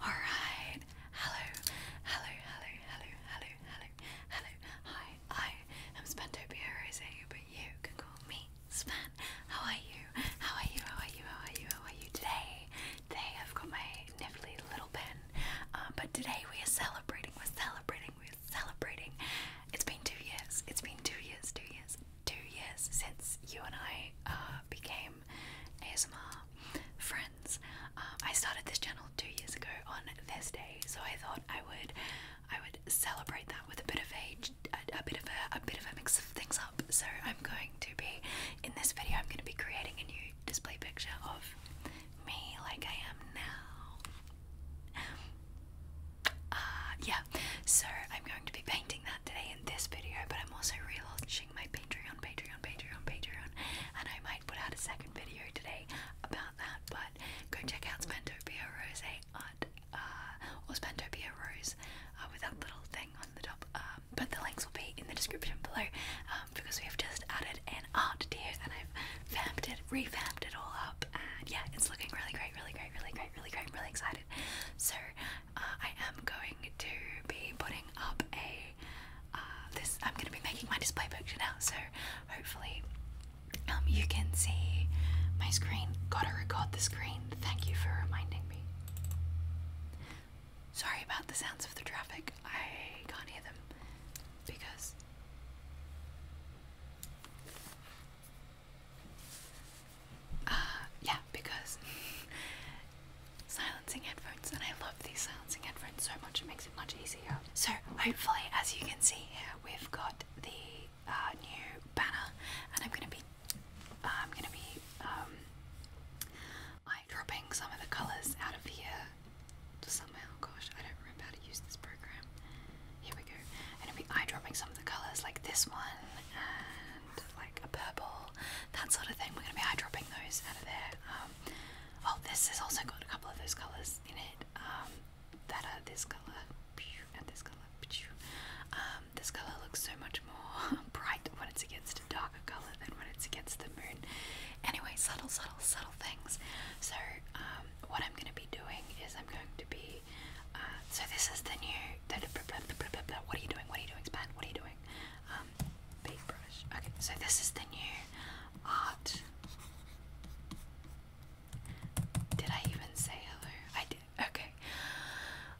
Alright. Hello. Hello. Hello. Hello. Hello. Hello. Hello. Hi. I am Spantopia Rose, but you can call me Span. How are you? How are you? How are you? How are you? How are you today? Today I've got my niffly little pen. Um, but today we are celebrating. We're celebrating. We're celebrating. It's been two years. It's been two years. Two years. Two years since you and I uh, became ASMR friends. Um, I started this channel two years ago on this day, so I thought I would I would celebrate that with a bit of a, a, bit of a, a bit of a mix of things up. So I'm going to be in this video. I'm going to be creating a new display picture of me, like I am now. Uh, yeah, so I'm going to be painting that today in this video, but I'm also relaunching watching my Patreon, Patreon, Patreon, Patreon, and I might put out a second video today about that. But go check out Spentopia Rose art, uh, or Spentopia Rose uh, with that little thing on the top. Um, but the links will be in the description below um, because we have just added an art tier and I've vamped it, revamped it all up, and yeah, it's looking really great, really great, really great, really great. I'm really excited. So uh, I am going to be putting up a uh, this I'm going to be making my display picture now, so hopefully um, you can see my screen. Gotta record the screen. Thank you for reminding me. Sorry about the sounds of the traffic. I can't hear them because. Uh, yeah, because silencing headphones, and I love these silencing headphones so much, it makes it much easier. So, hopefully, as you can see here, we've got the uh, new banner, and I'm gonna be, uh, I'm gonna be, um, eye dropping some of the colours out of here somehow. Oh, gosh, I don't remember how to use this program. Here we go. I'm gonna be eye dropping some of the colours, like this one, like a purple, that sort of thing. We're going to be eye dropping those out of there. Um, oh, this has also got a couple of those colours in it um, that are this colour and this colour. Um, this colour looks so much more bright when it's against a darker colour than when it's against the moon. Anyway, subtle, subtle, subtle things. So, what I'm going to be doing is I'm going to be. Uh, so this is the new. What are you doing? What are you doing, Span? What are you doing? Um, paintbrush. Okay, so this is the new art. Did I even say hello? I did. Okay,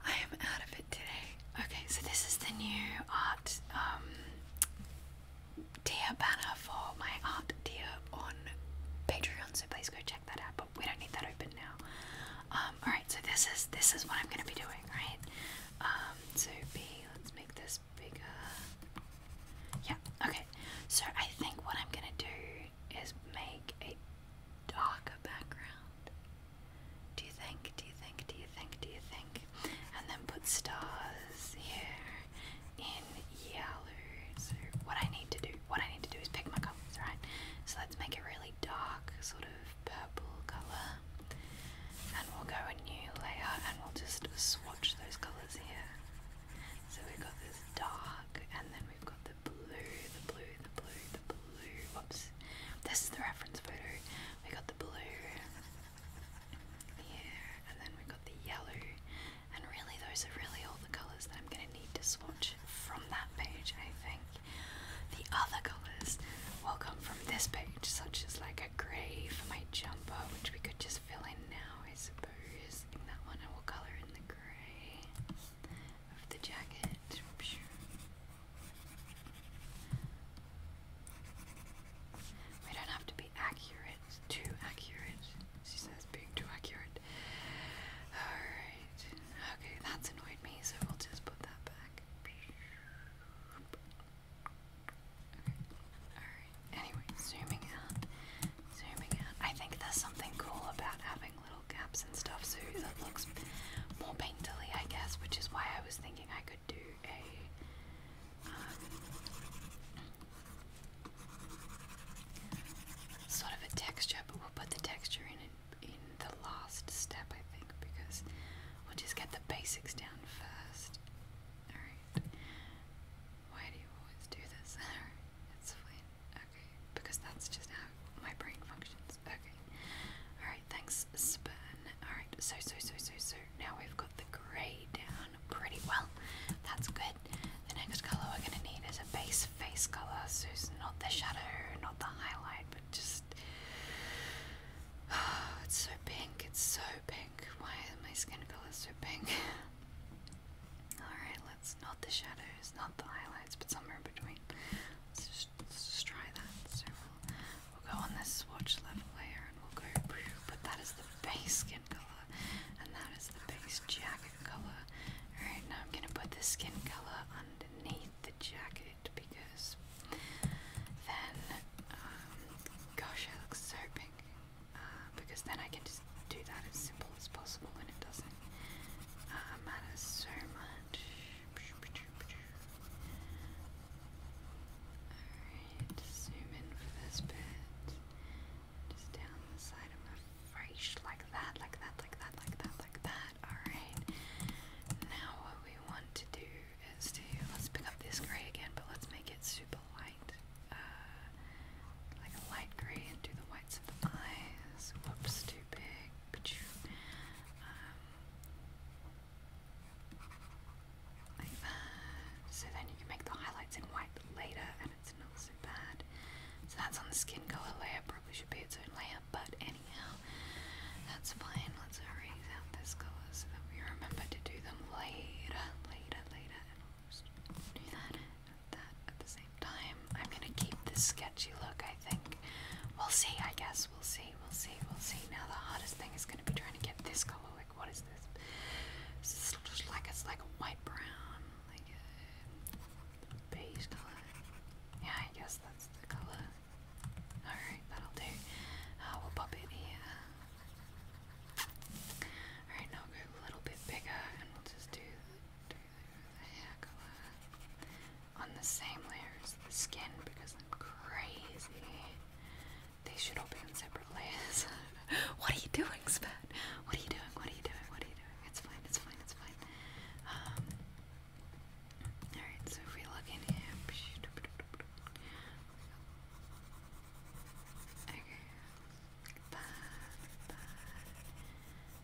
I am out of it today. Okay, so this is the new art um, tier banner for my art tier on Patreon. So please go check that out. But we don't need that open now. Um, all right, so this is this is what I'm gonna be doing, right? Um, so B, let's make this bigger. Yeah, okay. So I think what I'm gonna do is make a darker background. Do you think? Do you think? Do you think? Do you think? And then put stars here in yellow. So what I need to do, what I need to do is pick my colors, right? So let's make it really dark, sort of purple colour and we'll go a new layer and we'll just swatch those colours here. So we've got this dark and then we've got the blue, the blue, the blue, the blue. Whoops. This is the reference photo. We got the blue here and then we got the yellow and really those are really all the colours that I'm going to need to swatch from that page I think. The other colors will come from this page, such as like a grey for my jumper, which we could just fill in now, I suppose. that one, I will colour in the grey of the jacket. We don't have to be accurate, too accurate. She says being too accurate. Alright. Okay, that's annoyed me, so we'll just put that back anyway, zooming out, zooming out. I think there's something cool about having little gaps and stuff so that looks more painterly, I guess, which is why I was thinking I could do a um, sort of a texture, but we'll put the texture in in the last step, I think, because we'll just get the basics down first. Alright. Why do you always do this? Alright, it's fine. Okay, because that's just how my brain functions. Okay. Alright, thanks, Spurn. Alright, so, so, so, so, so. Now we've got the grey down pretty well. That's good. The next colour we're going to need is a base face colour, so it's not the shadow, not the highlight, but just Oh, it's so pink, it's so pink. Why is my skin color so pink? Alright, let's not the shadows, not the highlights, but somewhere in between. Let's just, just try that. So we'll, we'll go on this swatch level layer and we'll go, but that is the base skin color, and that is the base jacket color. Alright, now I'm gonna put the skin color underneath the jacket because then, um, gosh, it looks so pink. Uh, because then I can just do that as simple as possible and it doesn't uh, matter so much. Alright, zoom in for this bit. Just down the side of my face, like that, like that, like that, like that, like that. Alright, now what we want to do let's pick up this gray again, but let's make it super light, uh, like a light gray, and do the whites of the eyes. Whoops, too big. Um, like that. So then you can make the highlights in white later, and it's not so bad. So that's on the skin color layer. Probably should be its own layer, but now. That's fine. Let's hurry down this color so that we remember to do them later, later, later, and we'll just do that and that at the same time. I'm gonna keep this sketchy look, I think. We'll see, I guess. We'll see, we'll see, we'll see. Now the hardest thing is gonna be trying to get this color. Like, what is this? It's just like it's like a white brown, like a beige color. Yeah, I guess that's the color. Alright, that'll do. Uh, we'll pop it here. Alright, now we'll go a little bit bigger and we'll just do the, do the hair colour on the same layer as the skin because I'm crazy. These should all be in separate layers. what are you doing, Spat? What are you doing? What are you doing? What are you doing? It's fine, it's fine, it's fine. Um, Alright, so if we look in here. Okay.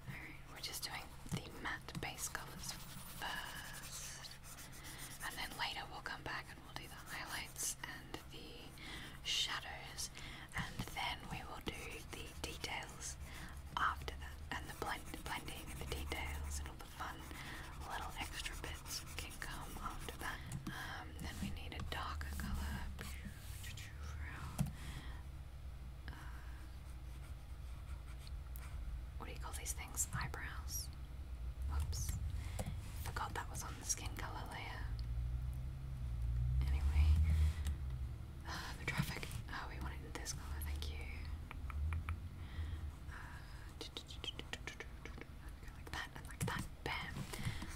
Alright, we're just doing the matte base colours first. And then later we'll come back and we'll do the highlights and the shadows. And then we will do the details after that. And the blend blending and the details and all the fun little extra bits can come after that. Um, then we need a darker color uh, what do you call these things? Eyebrows. Whoops. Forgot that was on the skin color layer. Anyway, uh, the traffic. Oh, we want this color, thank you. Uh, like that, like that. Bam.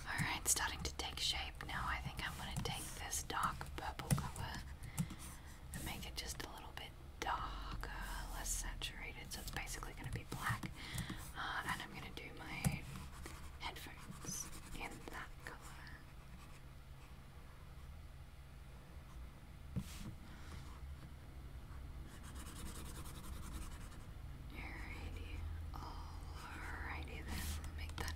Alright, starting to take shape now. I think I'm going to take this dark purple color and make it just a little bit darker, less saturated. So it's basically going to be black. Uh, and I'm going to do my headphones in that color. Alrighty, alrighty then. We'll make that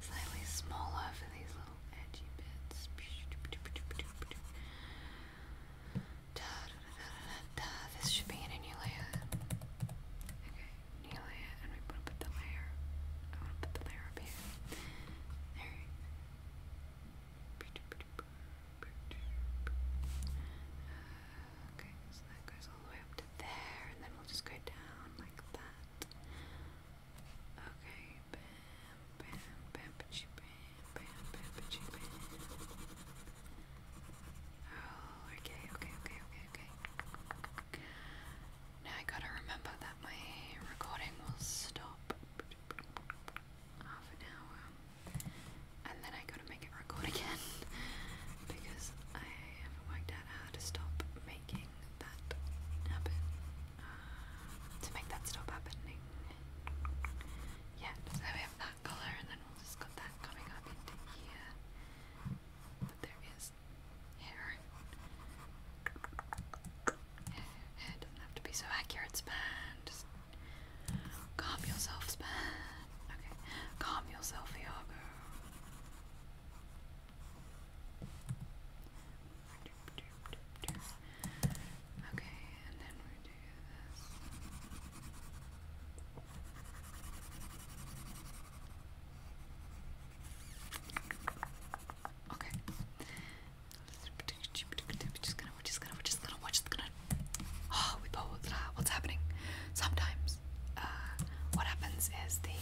slightly smaller for these little edgy bits. Da, da, da, da, da. This should be in a new layer. Okay, new layer, and we want to put the layer. I want to put the layer up here. There. Uh, okay, so that goes all the way up to there, and then we'll just go down like that. Okay, bam, bam, bam, bam, bam, bam, bam. Oh, okay, okay, okay, okay, okay. Now I gotta remember that my recording will stop half an hour and then I gotta make it record again because I haven't worked out how to stop making that happen. Uh, to make that stop happening. Yeah, so we have that colour and then we'll just got that coming up here. But there is hair. Hair doesn't have to be so accurate, man. Just Calm yourself, Span. Okay. Calm yourself, Iago. Okay, and then we do this. Okay. We're just gonna, we're just gonna, we're just gonna, we're just gonna. Oh, we both. What's happening? Sometimes, uh, what happens is the,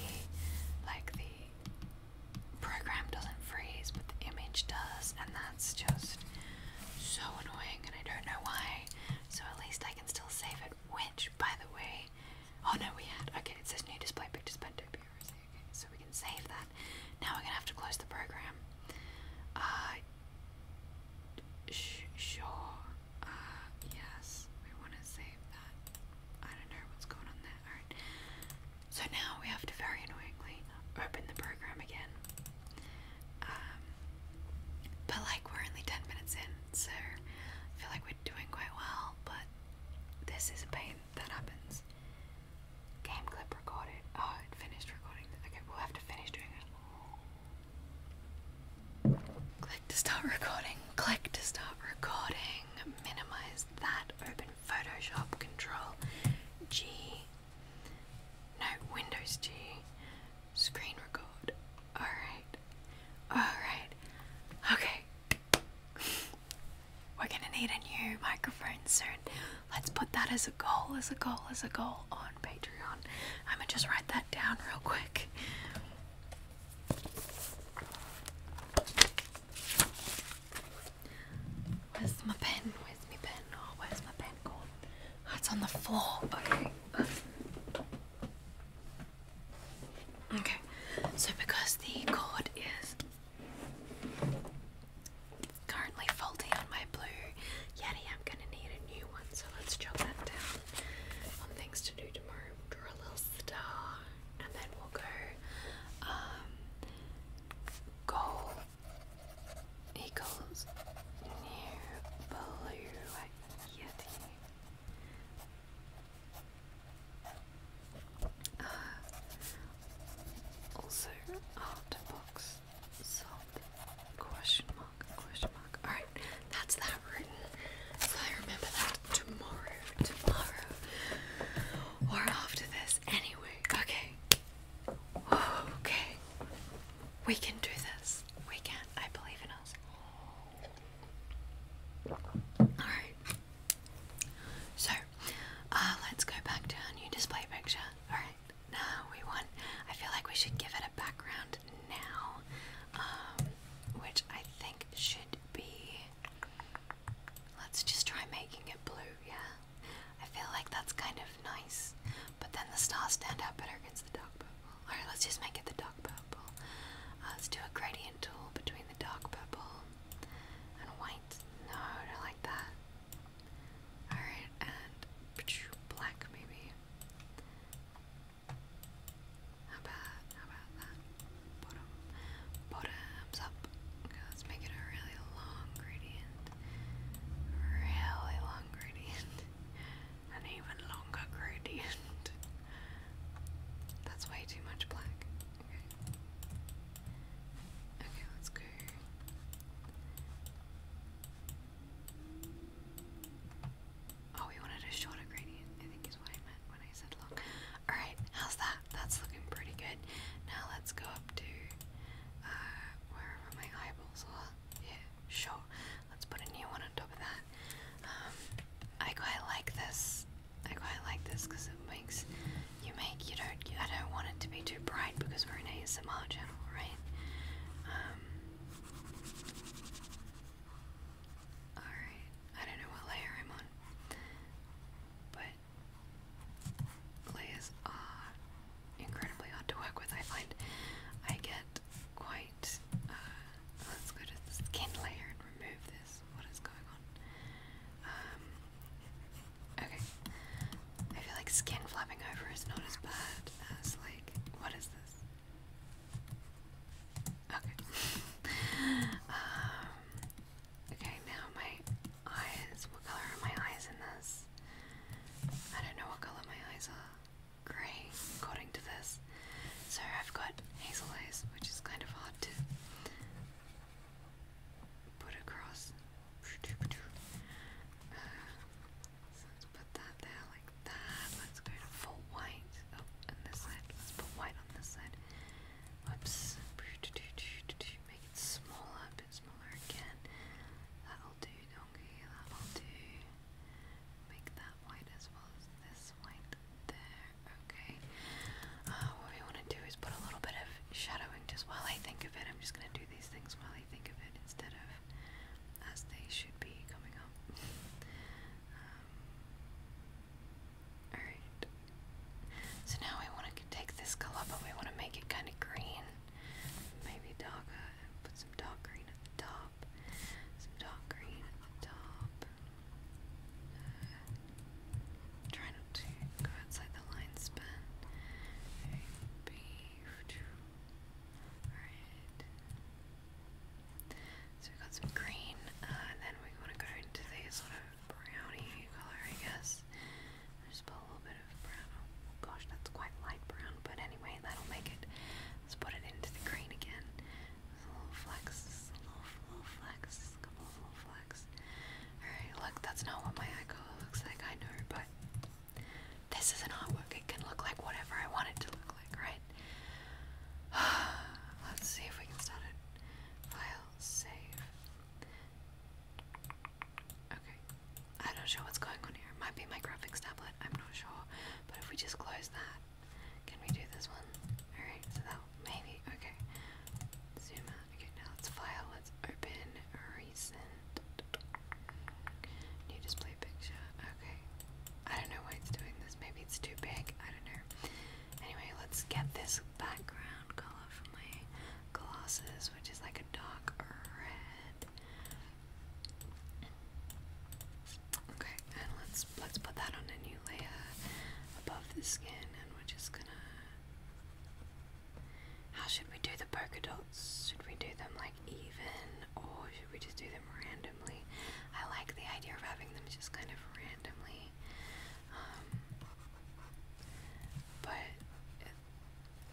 like the program doesn't freeze, but the image does, and that's just so annoying, and I don't know why. So at least I can still save it. Which, by the way, oh no, we had. Okay, it says new display pictures by Adobe. Okay, so we can save that. Now we're gonna have to close the program. Uh, sure. Uh, yes. We want to save that. I don't know what's going on there. Alright. So now we have to very annoyingly uh, open the program again. Um, but like we're only 10 minutes in, so I feel like we're doing quite well, but this is a pain that happens. Game clip recorded. Oh, it finished recording. Okay, we'll have to finish doing it. Click to start recording. Click to start recording. Minimize that. Open Photoshop. Control G. No, Windows G. Screen record. Alright. Alright. Okay. We're gonna need a new microphone soon let's put that as a goal, as a goal, as a goal on Patreon. I'm gonna just write that down real quick. Where's my pen? Where's my pen? Oh, where's my pen gone? Oh, it's on the floor. Okay. Okay. So because the cord is currently faulty on my blue Yeti. I'm gonna need a new one, so let's jot that down on things to do tomorrow. Draw a little star, and then we'll go um, goal new blue Yeti. Uh, also, art box so question mark question mark all right that's that written so i remember that tomorrow tomorrow or after this anyway okay okay we can do this we can i believe in us all right so uh let's go back to our new display picture all right no, we want. I feel like we should give it a background now, um, which I think should be. Let's just try making it blue. Yeah, I feel like that's kind of nice. But then the stars stand out better against the dark purple. All right, let's just make it the dark purple. Uh, let's do a gradient tool between the dark purple and white. No, I don't like that. Alright, and black maybe. How about how about that? Bottom bottoms up. Okay, let's make it a really long gradient. Really long gradient. An even longer gradient. That's way too much black. Okay. Okay, let's go. Oh, we wanted a shorter gradient, I think is what I meant when I said long. Alright, how's that? That's looking pretty good. Now let's go up to uh, wherever my eyeballs are. Yeah, sure. Let's put a new one on top of that. Um, I quite like this. I quite like this because it makes you make you don't. I don't want it to be too bright because we're in ASMR chat right? Um, alright, I don't know what layer I'm on, but layers are incredibly hard to work with, I find. I get quite, uh, let's go to the skin layer and remove this, what is going on? Um, okay, I feel like skin flapping over is not as bad as like what is this? Okay. Um, okay, now my eyes. What color are my eyes in this? I don't know what color my eyes are. Grey, according to this. So I've got hazel eyes, which is kind of hard to put across let's put that there like that. Let's go to full white. Oh, and this side. Let's put white on this side. Whoops. Make it smaller, bit smaller again. That'll do, donkey. That'll do. Make that white as well as this white there. Okay. Uh, what we want to do is put a little bit of shadowing just while I think of it. I'm just going to do these things while I think of it instead of as they should be coming up. Um, alright. So now we want to take this color, but we want to make it kind of green. Maybe darker. Put some dark green at the top. Some dark green at the top. Uh, try not to go outside the line span. A, B, two, so we got some green, uh, and then we want to go into the sort of browny color, I guess. Just put a little bit of brown. Oh gosh, that's quite light brown, but anyway, that'll make it. Let's put it into the green again. a little flex, a little, flex, a couple little flex. Alright, look, that's not what my eye color looks like, I know, but this is an artwork. It can look like whatever I want it to look like, right? Let's see if we can start it. File, save. Okay. I'm not sure what's going on here. might be my graphics tablet. I'm not sure. But if we just close that, can we do this one? Alright, so that maybe. Okay. Zoom out. Okay, now let's file. Let's open recent. New display picture. Okay. I don't know why it's doing this. Maybe it's too big. I don't know. Anyway, let's get this background color for my glasses, which is like a dark red. Okay, and let's let's put that on a new layer above the skin, and we're just gonna how should we do the polka dots? Should we do them like even or should we just do them randomly? I like the idea of having them just kind of randomly. Um, but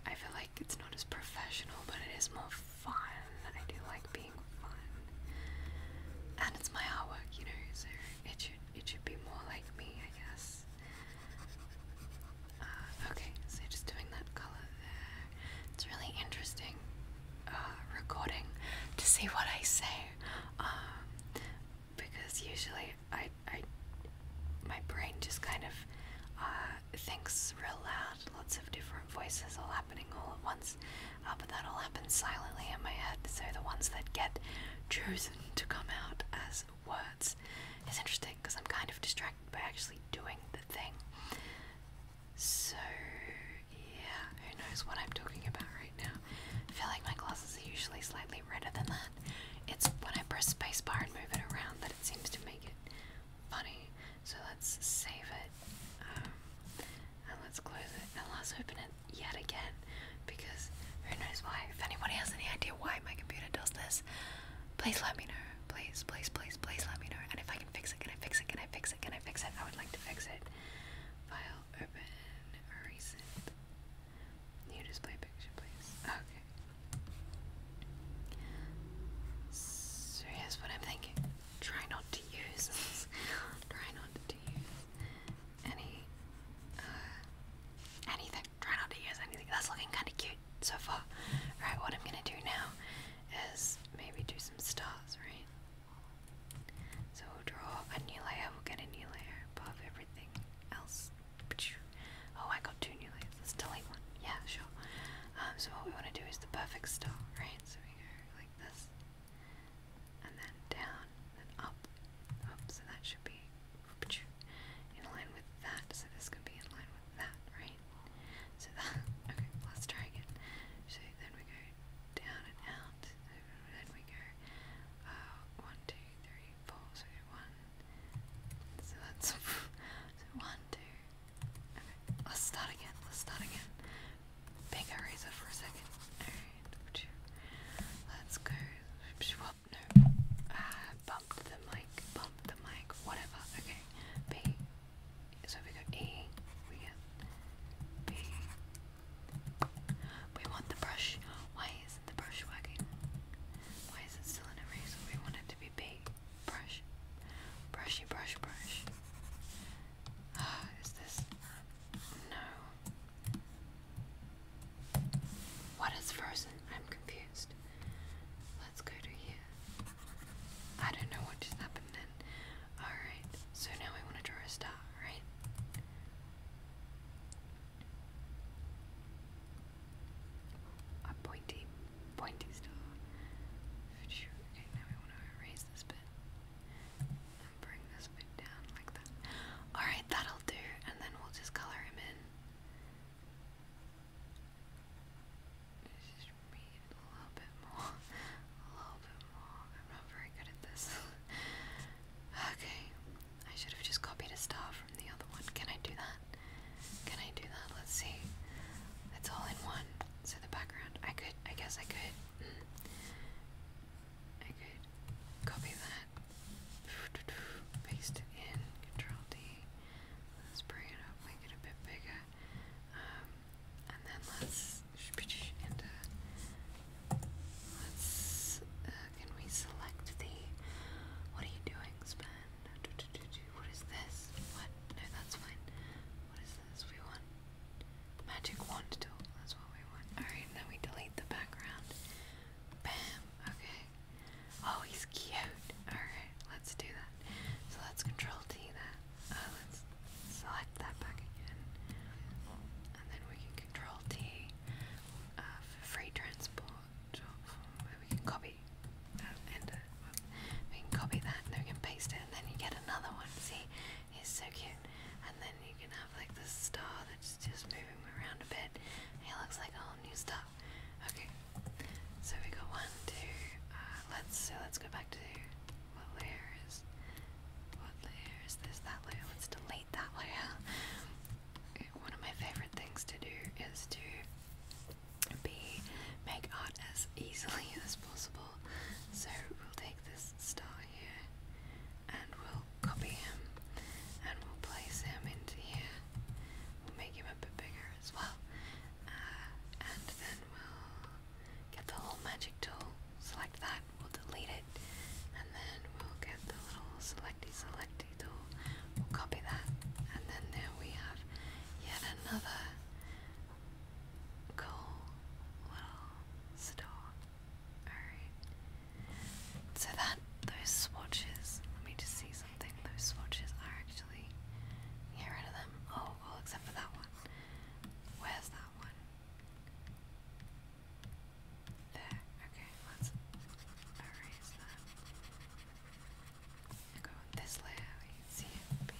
I feel like it's not as professional, but it is more fun. I do like being fun. And it's my artwork, you know, so it should it should be more like me, I guess. Uh, okay, so just doing that color there. It's really interesting uh, recording to see what I say, um, because usually I, I, my brain just kind of uh, thinks real loud, lots of different voices all happening all at once, but that all happens silently in my head. So the ones that get chosen to come out as words is interesting because I'm kind of distracted by actually doing the thing. So, yeah, who knows what I'm talking about right now. I feel like my glasses are usually slightly redder than that. It's when I press spacebar and move it around that it seems to make it funny. So let's save it. Um, and let's close it. And let's open it yet again. Because who knows why. If anybody has any idea why my computer does this, please let me know. Please, please, please, please let me know. And if I can fix it, can I fix it? Can I fix it? Can I fix it? I would like to fix it. File open recent. New display picture, please. Okay. So here's what I'm thinking. Try not to use. Try not to use any. Uh, anything. Try not to use anything. That's looking kind of cute. so far. all right. what I'm gonna do now is maybe do some stars, right? So we'll draw a new layer, we'll get a new layer above everything else. Oh, I got two new layers. Let's delete one. Yeah, sure. Um, so what we want to do is the perfect star, right? So we go like this, and then down, then up. Oops, so that should be in line with that. So this can be in line with that, right? So okay, let's try again. So then we go down and out. Then we go uh, So that's one, two. Okay, let's start again. Let's start again. Big eraser for a second. Alright, let's go. Whoop, no. Ah, the mic, bumped the mic, whatever. Okay, B. So we go E, we get B. We want the brush. Why isn't the brush working? Why is it still in a razor? We want it to be B. Brush. Brushy, brush, brush. Oh, is this. No. What is frozen? I'm confused let Let's go to here. I don't know what just happened then. Alright, so now I want to draw a star, right? A pointy, pointy star. Okay, now we want to erase this bit and bring this bit down like that. Alright, that'll do, and then we'll just color him in read a little bit more. A little bit more. I'm not very good at this. okay. I should have just copied a star from the other one. Can I do that? Can I do that? Let's see. It's all in one. So the background. I could I guess I could I could copy that. Paste it in. Control D. Let's bring it up, make it a bit bigger. Um, and then let's and uh, let's can we select the what are you doing? Spend what is this? What? No, that's fine. What is this? We want magic wand tool. That's what we want. All right, now we delete the background. Bam. Okay. Oh, he's cute. Alright, let's do that. So let's control T that. Uh, let's select that back again. And then we can control T uh, free transport. We can copy uh, enter. We can copy that and we can paste it and then you get another one. See? He's so cute. And then you can have like this star that's just moving around a bit. He looks like a whole new star Ah, okay. So we got one, two. Uh, let's so let's go back to what layer is what layer is this? That layer. Let's delete that layer. One of my favorite things to do is to be make art as easily as possible. So we'll take this star here and we'll copy him and we'll place him into here. We'll make him a bit bigger as well. Uh, and then we'll get the little magic tool, select that, we'll delete it, and then we'll get the little selecty selecty tool, we'll copy that, and then there we have yet another cool little store. Alright. So that those swatches, let me just see something, those swatches are actually get rid of them. Oh, well, except for that one. Where's that one? There. Okay, let's erase that. Go with this layer. see it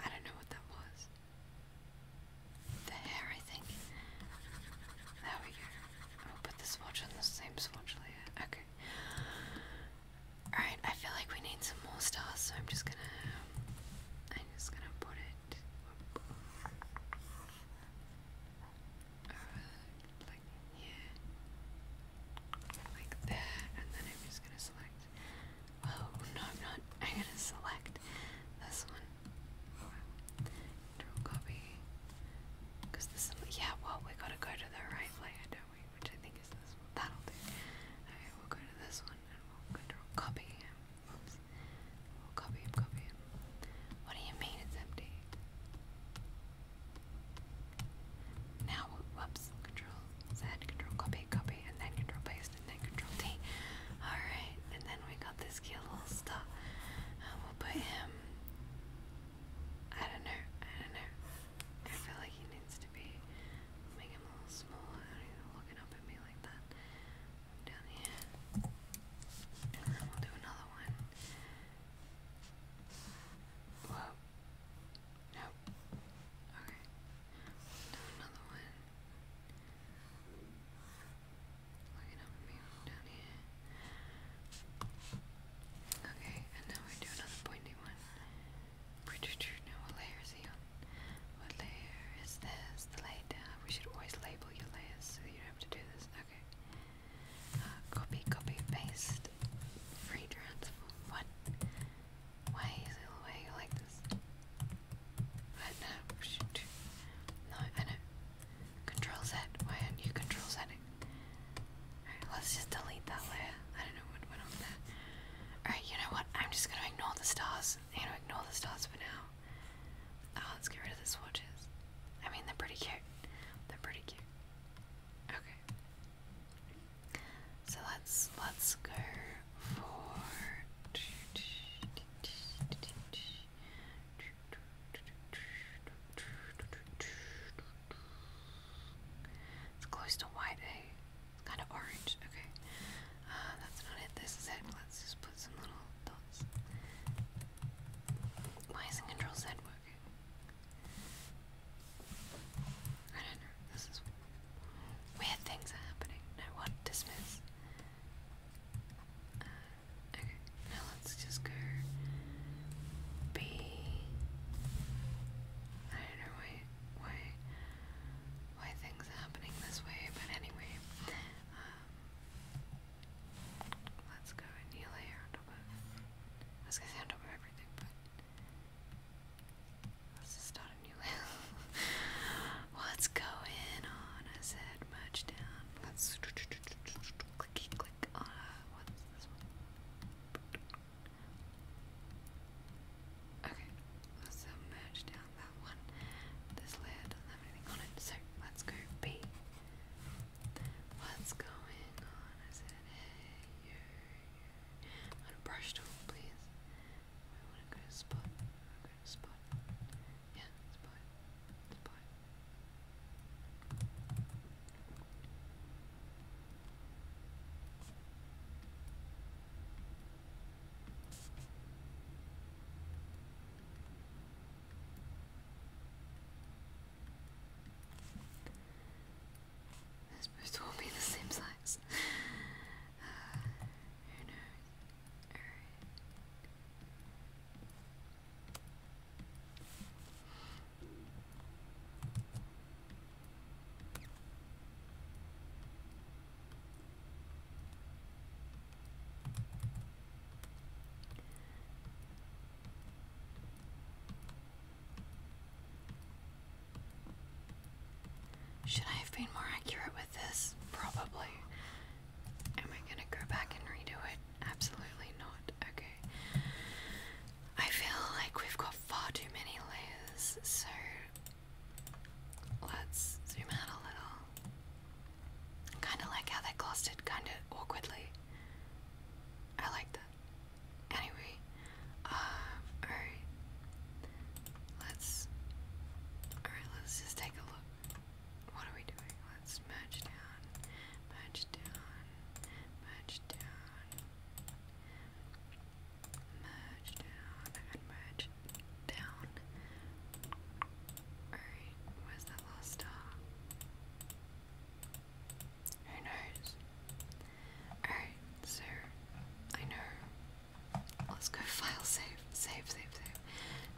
I don't know what that was. The hair, I think. There we go. I'll put the swatch on the same swatch layer. Okay. Alright, I feel like we need some more stars, so I'm just gonna I'm just gonna put it uh, like here. and then I'm just gonna select Oh no I'm not I'm gonna select this one. copy. Cause this yeah, well we gotta go to the right layer, which I think is this That'll do. we'll go to this one and we'll control copy him. Oops. We'll copy him, copy him. What do you mean it's empty? Now, whoops, control Z, control copy, copy, and then control paste, and then control T. Alright, and then we got this cute little stuff. Um, we'll put him. I don't know, I don't know. I feel like he needs to Make him a little smaller. I don't even looking up at me like that. Down here. And then we'll do another one. Whoa. Nope. Okay. another one. Looking up at me down here. Okay, and now we do another pointy one what layer is this? The layer We should always label your layers so you don't do this. Okay. copy, copy, paste. Free transform. What? Why is it like this? I No, Control Z. Why aren't you control setting? Alright, let's just delete that layer. I don't know what went on there. Alright, you know what? I'm just gonna ignore the stars. I'm gonna ignore the stars for now. Oh, let's get rid of the swatches. I mean, they're pretty cute. They're pretty cute. Okay. So let's let's go for. It's close to white, eh? It's kind of orange. Okay. Uh, that's not it. This is it. Let's just put some little dots. Why isn't Control Z working? I don't know. This is weird things are happening. No what? Dismiss. Uh, okay. Now let's just go. B. I don't know why why why things happening this way, but anyway, um, let's go and kneel here I was gonna say on everything, but let's start a new layer. What's going on? I said, merge down. Let's clicky click on, uh, what's this one? Okay, let's uh, merge down that one. This layer doesn't have anything on it, so let's go B. What's going on? I said, hey, yo, a brush tool, please. I want to go spot. I'll to spot. Yeah, spot. Spot. They're supposed to all be the same size. who knows? Should I have been more accurate with this? Probably. Am I gonna go back and redo it? Absolutely not. Okay. I feel like we've got far too many layers, so let's zoom out a little. Kind of like how they clustered, kind of awkwardly. I like that. Anyway, um, alright. Let's. Alright, let's just take a look. What are we doing? Let's merge down, merge down, merge down merge down merge down. Alright, where's that last star? Who knows? Alright, so I know. Let's go file save, save, save, save,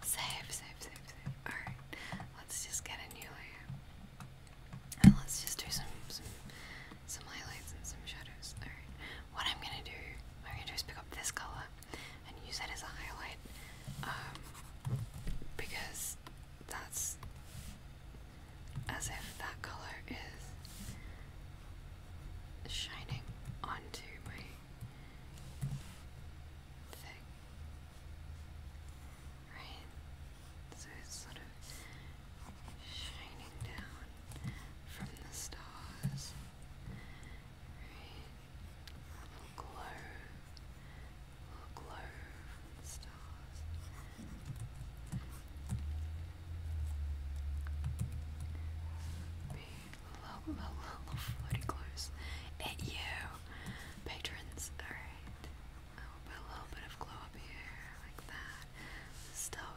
save, save, save, save. Alright, let's just get a new layer let's just do some some highlights and some shadows. Alright. What I'm gonna do, I'm gonna do pick up this colour and use that as a highlight. Um, because that's as if that colour is shining onto my thing. Right? So it's sort of shining down from the stars. Right? A little glow. A little glow from the stars. Be a little, a little floaty close at you, patrons. Alright. I will put a little bit of glow up here, like that. Still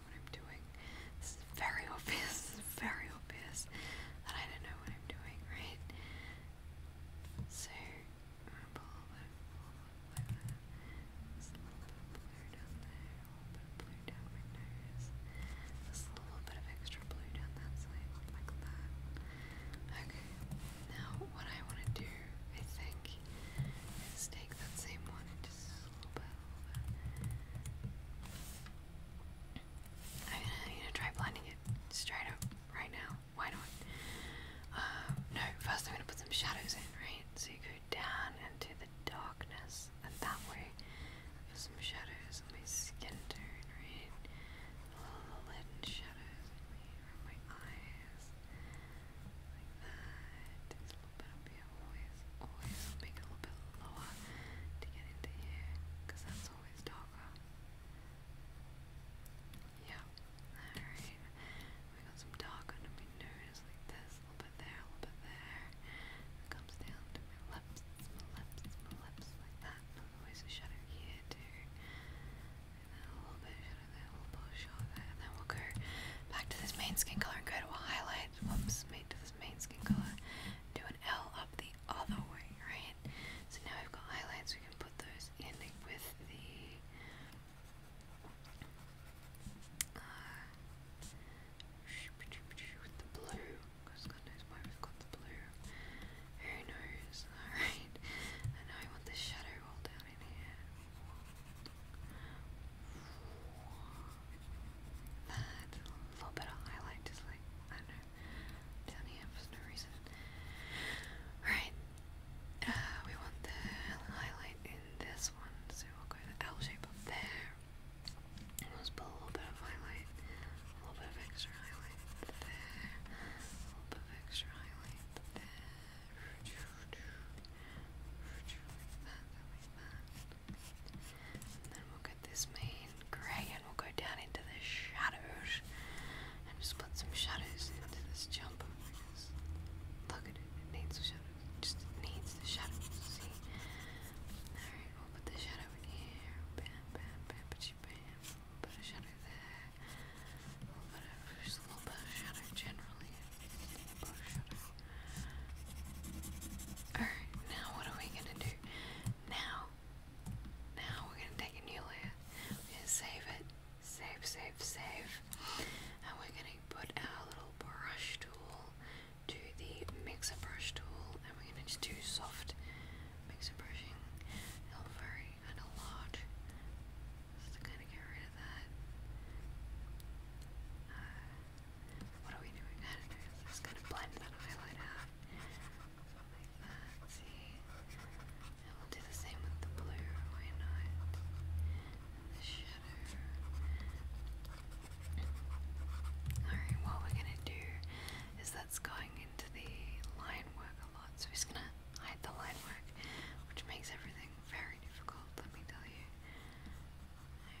what I'm doing. This is very obvious, this is very obvious that I don't know what I'm doing, right? So, a little bit of blue over. There's a little bit of blue down there, a little bit of blue down my nose. There's a little bit of extra blue down that side, like that. Okay, now what I want to do, I think, is take that same one I'm gonna, try blending it straight up right now. Why not? Um, no, first I'm gonna put some shadows in, right? So you go down into the darkness, and that way, some shadows on my skin tone, right? All the leaden shadows in my eyes, like that little bit up here, always, always being a little bit lower to get into here, because that's always darker. Yeah, alright, we got some dark under my nose like this, a little bit there, a little bit there, comes down to my lips, my lips, my lips, like that, always a shadow here too, and then a little bit shadow there, a little bit shadow there, and then we'll go back to this main skin color and go to a highlight whoops, made to this main skin color, do an L up the other way, right? So now we've got highlights, we can put those in with the uh, blue, who knows, alright? And now I want the shadow all down in here that little bit of highlight just like, I don't know, down here for no reason. Alright, uh, we want the highlight in this one, so we'll go the L shape up there. And we put a little bit of highlight, a little bit of extra highlight there, a little bit of extra highlight there then we'll get this main grey and we'll go down into the shadows and just put some shadows into this jumper look at it, it needs shadows. just needs the shadows, see? Alright, we'll put the shadow in here. Bam, bam, bam, put a shadow there. put a little bit of shadow generally Alright, now what are we gonna do? Now, now we're gonna take a new layer. We're gonna save it. Save, save, save. And we're gonna put our little brush tool to the mixer brush tool and we're gonna just do soft mixer brushing. Not very and a lot. Just to kinda get rid of that. Uh, what are we doing? I don't blend that highlight out. see. And we'll do the same with the blue. Why not? the shadow. Alright, what we're going to do is that's going into the line work a lot. So we're just going to hide the line work, which makes everything very difficult, let me tell you. Alright.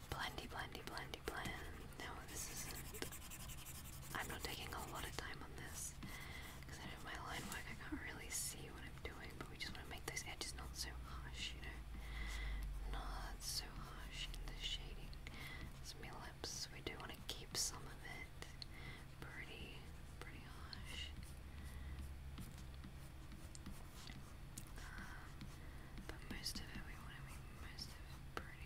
Blendy, blendy, blendy, blend. No, this isn't. I'm not taking a lot of time on this because I know my line work, I can't really see what I'm doing, but we just want to make those edges not so harsh, you know? Not so harsh in the shading. It's my lips, we do want to keep some of it pretty, pretty harsh. Uh, but most of it, we want to make most of it pretty.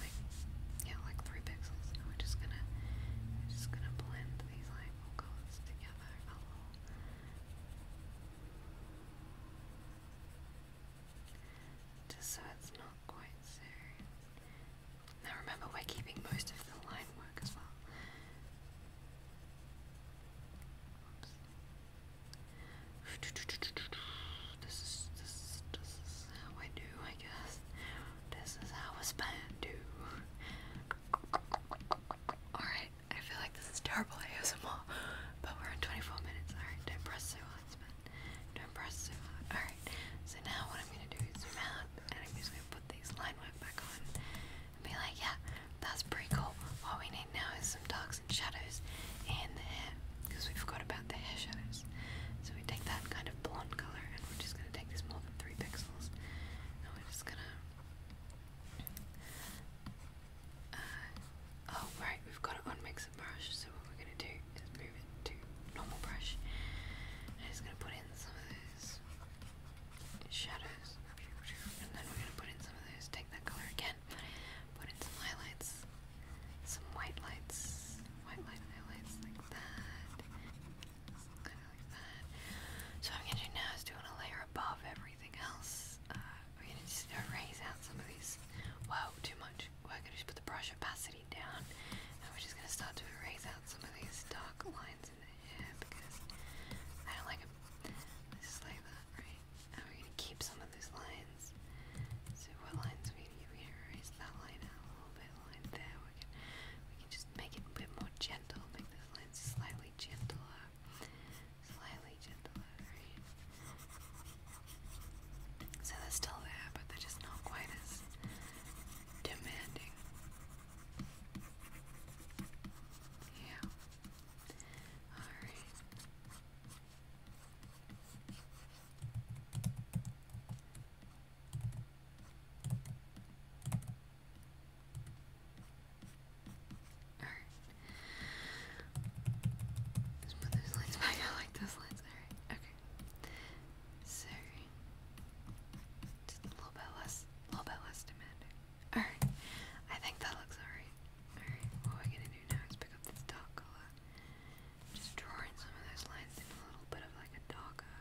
like yeah, like three pixels. we're just gonna just gonna blend these like colors together Just so it's not quite so. Now remember, we're keeping most of the line work as well. This is this this is how I do, I guess. This is how it's supposed to. Alright, I feel like this is terrible ASMR, but we're in 24 minutes. Alright, don't press so hard, Spin. Don't press so hard. Alright, so now what I'm gonna do is zoom and I'm just gonna put these line work back on be like, yeah, that's pretty cool. What we need now is some darks and shadows in the hair, because we forgot about the hair shadows. So we take that kind of blonde color and we're just gonna take this three pixels. And we're just gonna. Uh, oh, right, we've got an unmixed brush, so what we're gonna do is move it to normal brush. And I'm just gonna put in some of those shadows. And then we're gonna put in some of those, take that color again, put in some highlights, some white lights, white light highlights like that. So what I'm gonna do now is doing a layer above everything else. Uh, we're gonna just erase out some of these. Whoa, too much. We're gonna just put the brush opacity down, and we're just gonna start to erase out some of these dark lines in the hair because I don't like them. Just like that, right? And we're gonna keep some of these lines. So what lines we We erase that line out a little bit there. We can, we can just make it a bit more gentle, make those lines slightly gentler. Slightly gentler, So they're still there, but they're just not quite as demanding. Yeah. Alright. Alright. Let's put those lines back. I like those lines. Alright, okay. So, just a little bit less, a little bit less demanding. Alright, I think that looks alright. Alright, what we're gonna do now is pick up this dark Just draw some of those lines in a little bit of like a darker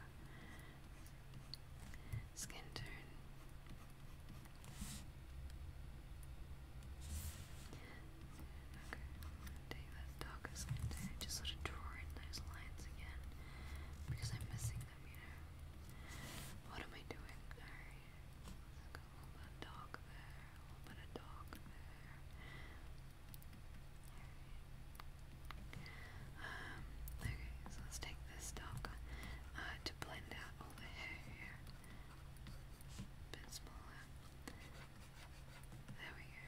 skin turn. Okay, take that darker skin turn, just sort of draw in those lines again because I'm missing them, you know. What am I doing? a little bit of dark there, a little bit of dark there, um, okay, so let's take this dark uh, to blend out all the hair here. A bit smaller. There we go.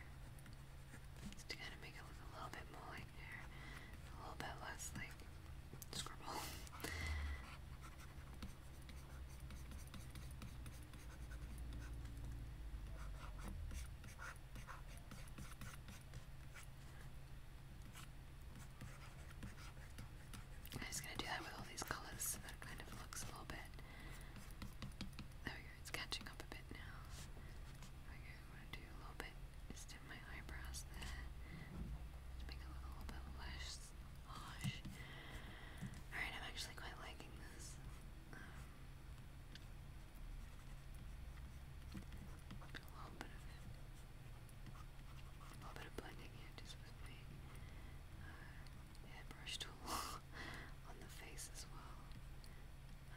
It's to kind of make it look a little bit more like hair, a little bit less like scribble. I'm just gonna do that with all these colors so that it kind of looks a little bit. There we go, it's catching up a bit now. There we go, do a little bit just in my eyebrows there. Just make a little bit less harsh. Alright, I'm actually quite liking this. Um, a little bit of blending just with my uh, tool on the face as well. Uh,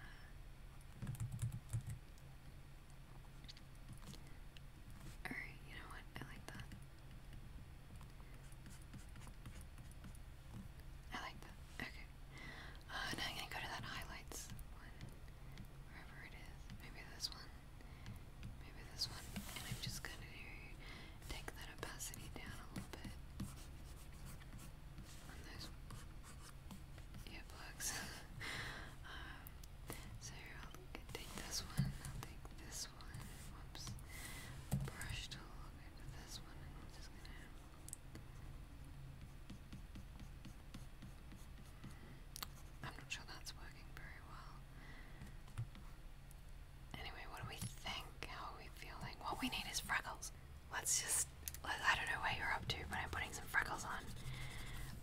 Alright, you know what? I like that. I like that. Okay. Oh, now I'm gonna go to that highlights wherever it is. Maybe this one, maybe this one, and I'm just gonna take that opacity down a little bit. On those earplugs. Um, so I'll take this one, I'll take this one, whoops, brush to I'm gonna I'm not sure that's working very well. Anyway, what do we think? How are we feeling? What we need is freckles. Let's just. I don't know where you're up to, but I'm putting some freckles on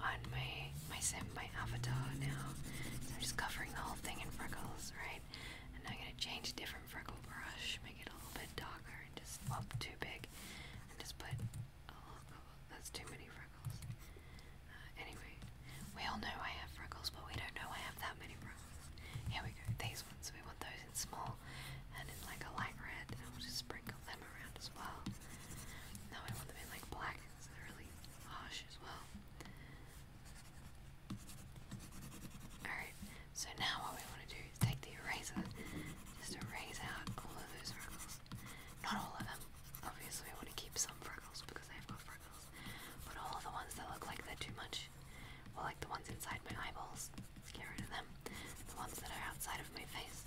on my my sim, my avatar now. I'm just covering the whole thing in freckles, right? And I'm gonna change different freckle brush, make it a little bit darker, and just up too big, just put a oh, lot oh, that's too many freckles. Uh, anyway, we all know I have freckles, but we don't know I have that many freckles. Here we go, these ones, we want those in small and in like a light red, and we'll just sprinkle them around as well. Now I want them in like black, so they're really harsh as well. Alright, so now what we want to do is take the eraser, just erase out all of those freckles. Not all of them. Obviously we want to keep some freckles because I've freckles. But all the ones that look like they're too much, well like the ones inside my eyeballs, let's get rid of them. The ones that are outside of my face,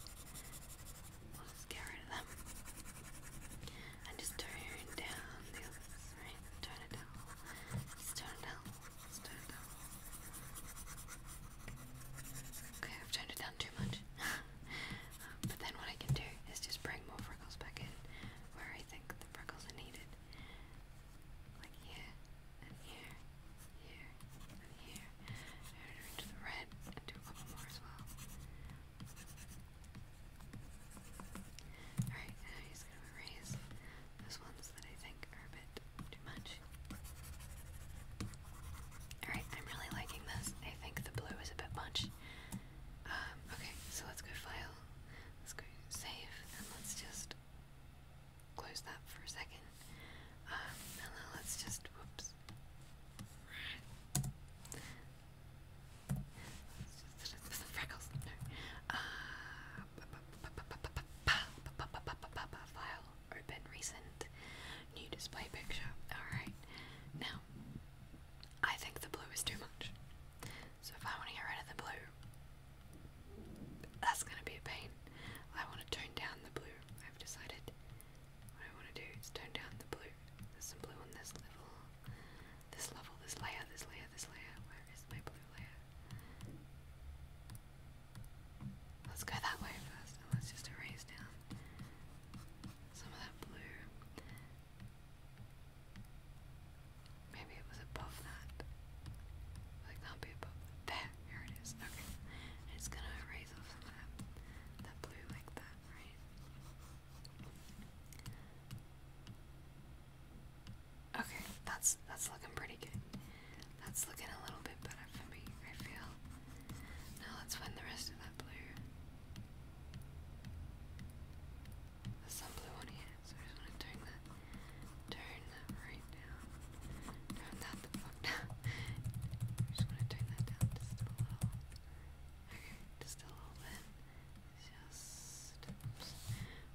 we'll get rid of them. And just turn down the others, right? Turn it down. turn it down. turn it down. Okay, I've turned it down too much. Um, but then what I can do is just bring more freckles back in where I think the freckles are needed. Like here, and here, here, and here. In the red do a couple more as well. Alright, now i going to erase those ones that I think are too much. Alright, I'm really liking this. I think the blue is a bit much. okay, so let's go file. Let's go save, and let's just close that for a second. and then let's just, whoops. let just the freckles. No. Uh, file open recent new display picture. Alright, now I think the blue is too much. So if I want to get rid of the blue, that's going to be a pain. I want to tone down the blue. I've decided what I want to do is tone down the blue. There's some blue on this level, this level, this layer, this layer, this layer. Where is my blue layer? Let's go that way first, and let's just erase down some of that blue. Maybe it was above that. Like can be above There, here it is. Okay. it's gonna erase off some of that, that blue like that, right? Okay, that's that's looking pretty good. That's looking a little bit better for me, I feel. Now let's find the rest of that blue. some blue on here, so I just want to turn that, turn that right down. Turn that the fuck down. I just want to turn that down just a little. Okay, just a little bit. Just,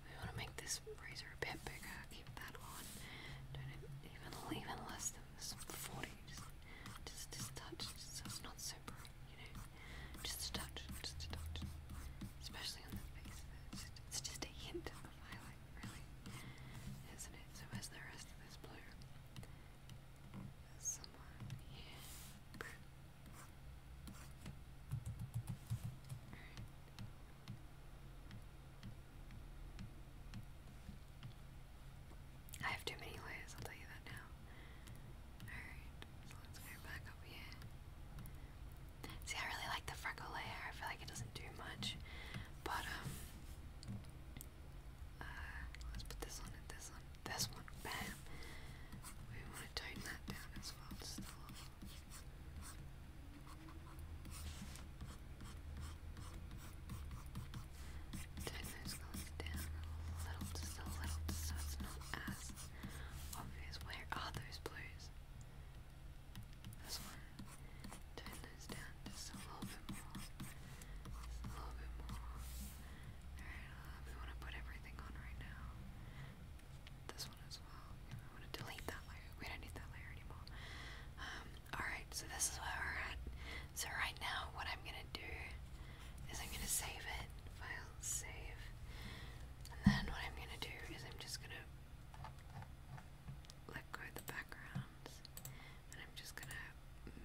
We want to make this razor a bit bigger. Keep that on. even, even less some forties. Just this just so it's not so you know. Just a touch, just a touch. Especially on the face. It's just, a hint of highlight, really. Isn't it? So where's the rest of this blue? I have too many layers, I'll tell you that now. Alright, so let's go back up here. See, I really like the freckle layer. I feel like it doesn't do much. But, um, uh, let's put this on and this on. This one, bam. We want to tone that down as well, this goes down a little, just a little, so it's not as obvious. Where are those blues? This one. Turn those down just a little bit more. a little bit more. Alright, we want to put everything on right now. This one as well. We want to delete that layer. We don't need that layer anymore. Um, Alright, so this is where we're at. So right now what I'm gonna do is I'm gonna save it. File save. And then what I'm gonna do is I'm just gonna let go of the backgrounds. And I'm just gonna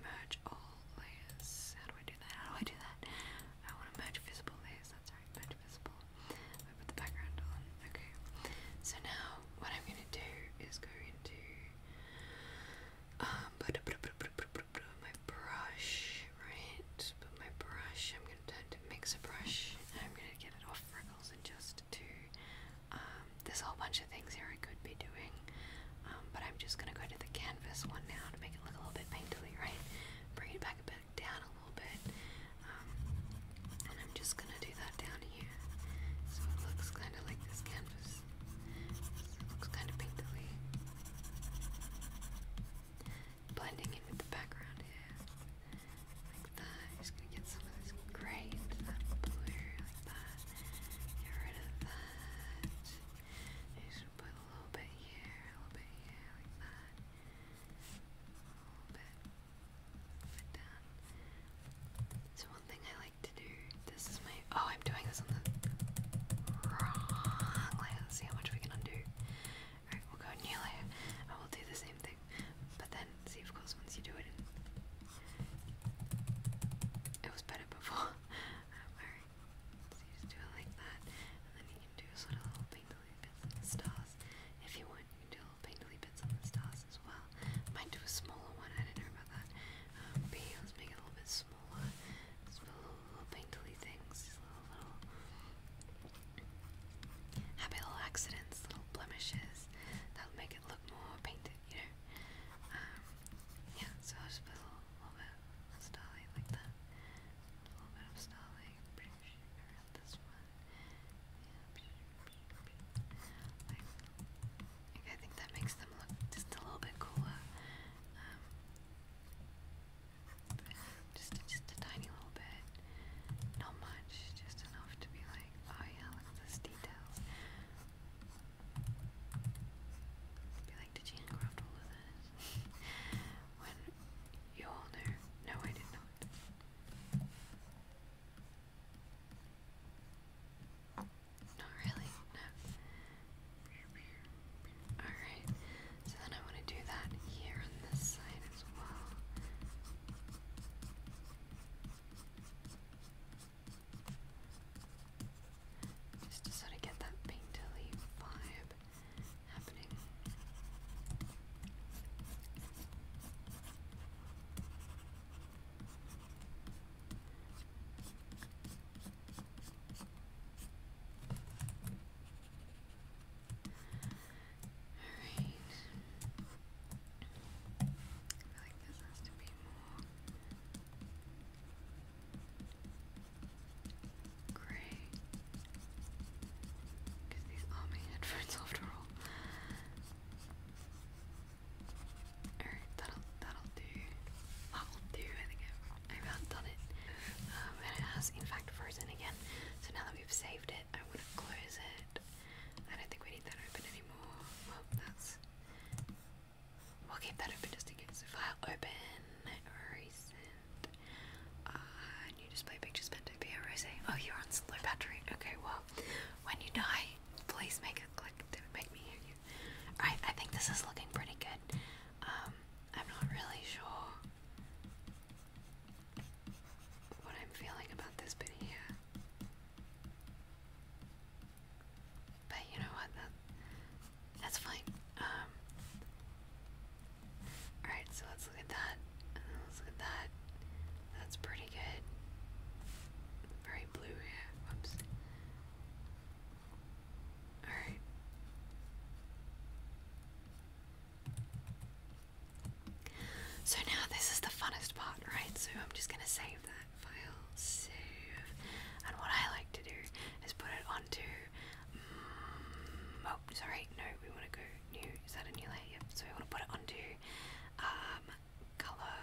merge all layers. How do I do that? How do I do that? I wanna merge visible layers, that's right, merge visible. I put the background on Okay. So now what I'm gonna do is go into um my brush, right? put my brush, I'm gonna turn to mixer brush I'm gonna get it off freckles and just do um there's a whole bunch of things here I could be doing. Um, but I'm just gonna go to the canvas one now to make it look a little bit painterly, right? Bring it back a bit down a little bit. Um, and I'm just gonna do that down here. So it looks kind of like this canvas. looks kind of pinkly. Blending in with the background here. Like that. just gonna get some of this gray into that blue, like that. Get rid of that. just put a little bit here, a little bit here, like that. A little bit. So one thing I like to do. This is my. Oh, I'm doing this on the wrong layer. Let's see how much we can undo. Alright, we'll go new layer. I will do the same thing, but then see. Of course, once you do it, it was better before. Alright, so you just do it like that, and then you can do sort of little things like the stars. If you want, you do faintly bits on the stars as well. Might do a smaller one, I don't know about that. but let's make it a little bit smaller. These little, little painterly things, these little, little happy little accidents, little blemishes that'll make it look more painted, you know? Um, yeah, so just a little, little bit of starlight like that. A little bit of starlight, around this one. Yeah, like, I think that makes them look just a little bit cooler. Um, just, just a tiny little bit. Not much, just enough to be like, oh yeah, look at this detail. Be like, did you handcraft all of that? when you all no I did not. Not really, no. Alright, so then I want to do that here on this side as well. Just to sort of get that painterly vibe happening. Alright. I feel like this has to be more gray. Because these are headphones after all. Alright, that'll that'll do. Level two, I think I've, I've outdone it. Um, and it has in fact frozen again. So now that we've saved it, I want to close it. I don't think we need that open anymore. Well, that's we'll keep that open just in case. File open recent. Uh, new display pictures meant to Oh, you're on slow battery. Okay, well, when you die, please make a click to make me hear you. Alright, I think this is looking pretty good. Um, I'm not really sure what I'm feeling about this bit here. But you know what? that's fine. Um, Alright, so let's look at that. let's look at that. That's pretty good. Very blue here. Whoops. Alright. So now this is the funnest part, right? So I'm just gonna save that file, save, and what I like to do is put it onto. Mm, oh, sorry, no, we want to go new. Is that a new layer? So we want to put it onto um, color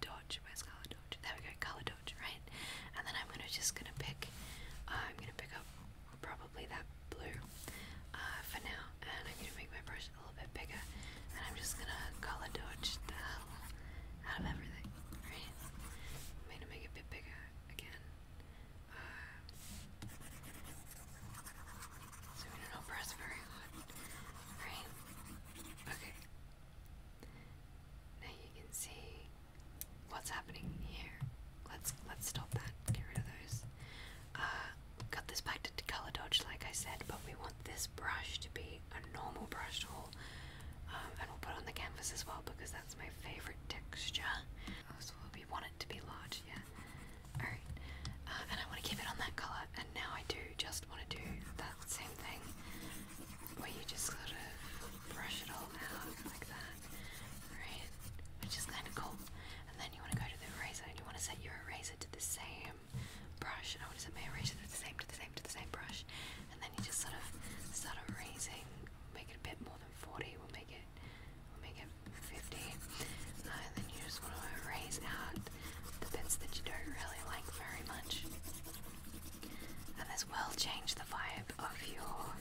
dodge. Where's color dodge? There we go, color dodge, right? And then I'm gonna just gonna pick. Uh, I'm gonna pick up probably that blue uh, for now, and I'm gonna make my brush a little bit bigger, and I'm just gonna color dodge the hell out of everything. Right? i make it a bit bigger again. Uh, so I'm not press very hard. Okay. Now you can see what's happening here. Let's let's stop that. Get rid of those. cut uh, this back to color dodge, like I said, but we want this brush to be a normal brush tool, um, and we'll put on the canvas as well because that's my favorite texture. Oh, we want it to be large, yeah. All right, uh, and I want to keep it on that color. And now I do you just want to do that same thing where you just sort of brush it all out like that, right? Which is kind of cool. And then you want to go to the eraser and you want to set your eraser to the same brush. And I want to set my eraser to the same, to the same, to the same brush. And then you just sort of start erasing, make it a bit more than 40, we'll make it, we'll make it 50. Uh, and then you just want to erase out the bits that you don't really like very much. And this will change the vibe of your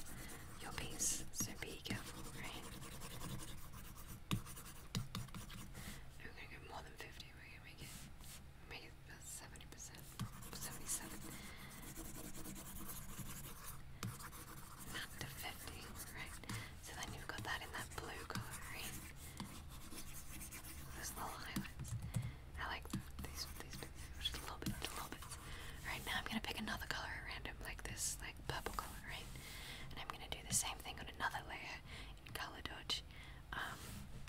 your piece, so be careful, We're gonna go more than 50, we're gonna make it make it about 70%, 77. Not to 50, right? So then you've got that in that blue colour, those little highlights. I like These, just a little bit, a little bit. Alright, now I'm gonna pick another color at random, like this, like purple color, right? And I'm gonna do the same thing on another layer in color dodge. Um,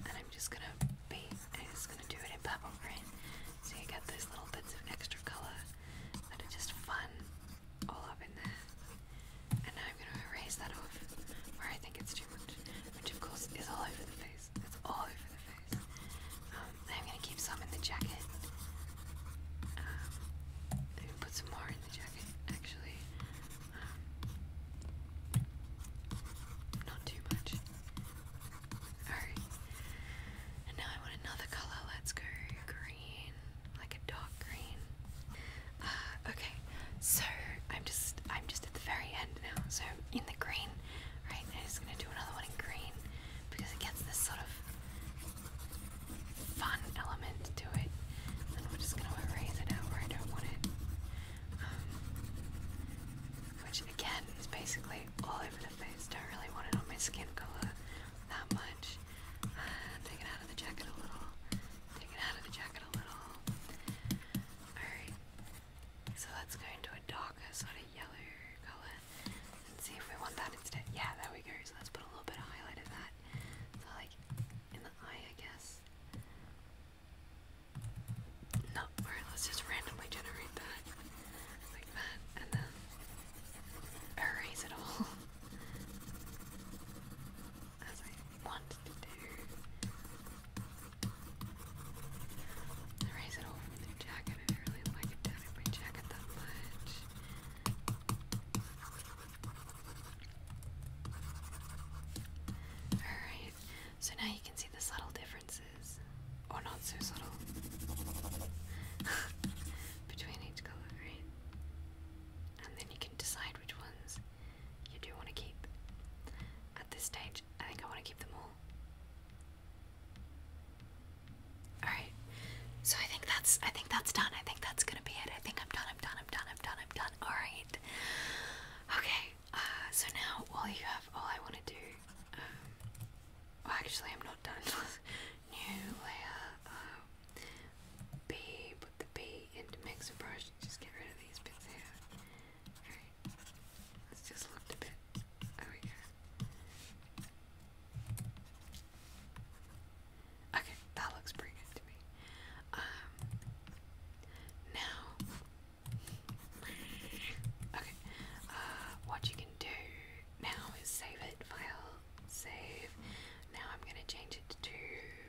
and I'm just gonna be, I'm just gonna do it in purple, right? So you get those little bits of extra color that are just fun all up in there. And now I'm going to erase that off where I think it's too much, which of course is all over the face. It's all over the face. Um, I'm going to keep some in the jacket. I'm um, going to put some more in the jacket, actually. Um, not too much. Alright. And now I want another colour. Let's go green, like a dark green. okay, so I'm just I'm just at the very end now. So in the green, right? i just gonna do another one in green because it gets this sort of fun element to it. then we're just gonna erase it out where I don't want it. Um, which again is basically all over the face. Don't really want it on my skin color that much. Uh, take it out of the jacket a little. Take it out of the jacket a little. Alright. So let's go into a darker sort of yellow colour and see if we want that instead. Yeah, there we go. So let's put a little bit of highlight in that. like in the eye I guess. No, alright, let's just randomly generate that. Like that. And then erase it all. as I want to do. I raise it over the jacket. I didn't really like it down my jacket that much. Alright, so now you can see the subtle differences. or not so subtle. Between each color, right? And then you can decide which ones you do want to keep. At this stage, I think I want to keep them all. Alright, so I think that's I think that's done. I think that's gonna be it. I think I'm done, I'm done, I'm done, I'm done, I'm done. Alright. Okay, uh, so now all you have all I wanna do um actually I'm not done. New layer uh, the B into mixer brush just get rid of these bits here. Alright, this just looked a bit. There we Okay, that looks pretty good to me. Um, now, okay, uh, what you can do now is save it, file, save. Now I'm going to change it to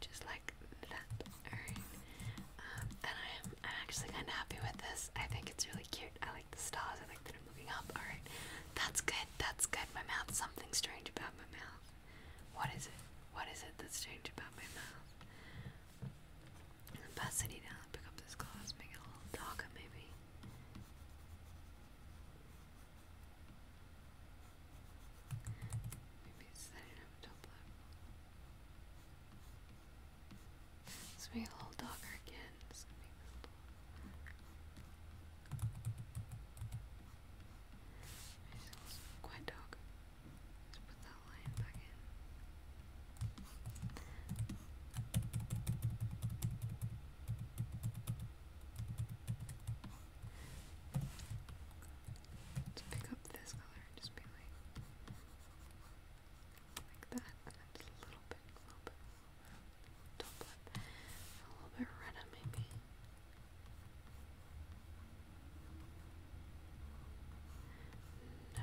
just like that. Alright, um, and I am I'm actually kind of happy with this. I think it's really cute. I like the stars. I like that I'm looking up. Alright, that's good. That's good. My mouth. Something strange about my mouth. What is it? What is it that's strange about my mouth? Opacity down. Pick up this glass. Make it a little darker, maybe it's a Let's make a little darker again. Let's make this quite dark. Let's put that line back in let pick up this color just be like, like that, a little bit, a little bit, a little bit redder maybe. No.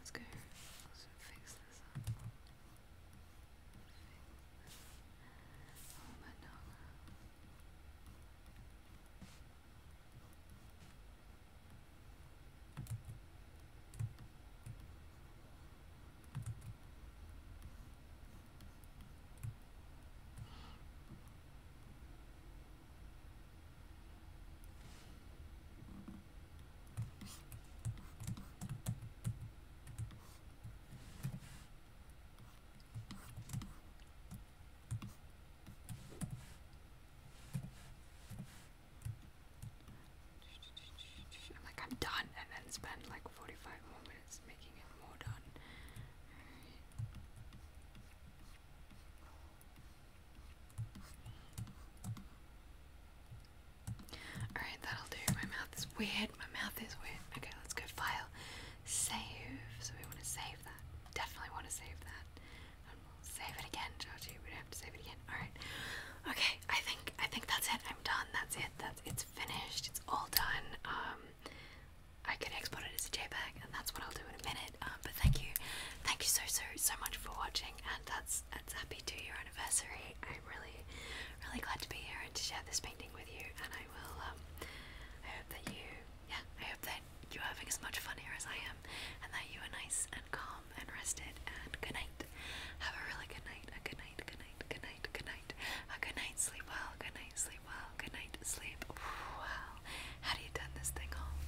Let's go. Let's fix this up. Oh, I'm like, I'm done, and then spend like 45 more minutes making it more done. Alright, that'll do. My mouth is weird. My mouth is weird. Okay, let's go file. Save. So we want to save that. Definitely want to save that. And we'll save it again, Georgie. We don't have to save it again. Alright. Okay, I think I think that's it. I'm done. That's it. That's it's finished. It's all done. Um I can export it as a JPEG and that's what I'll do in a minute. Um, but thank you, thank you so so so much for watching, and that's that's happy two year anniversary. I'm really really glad to be here and to share this painting with you. And I will. Um, I hope that you, yeah, I hope that you're having as much fun here as I am, and that you are nice and calm and rested. And good night. Have a really good night. A good night. Good night. Good night. Good night. A good night. Sleep well. Good night. Sleep well. Good night. Sleep. well. How do you turn this thing off?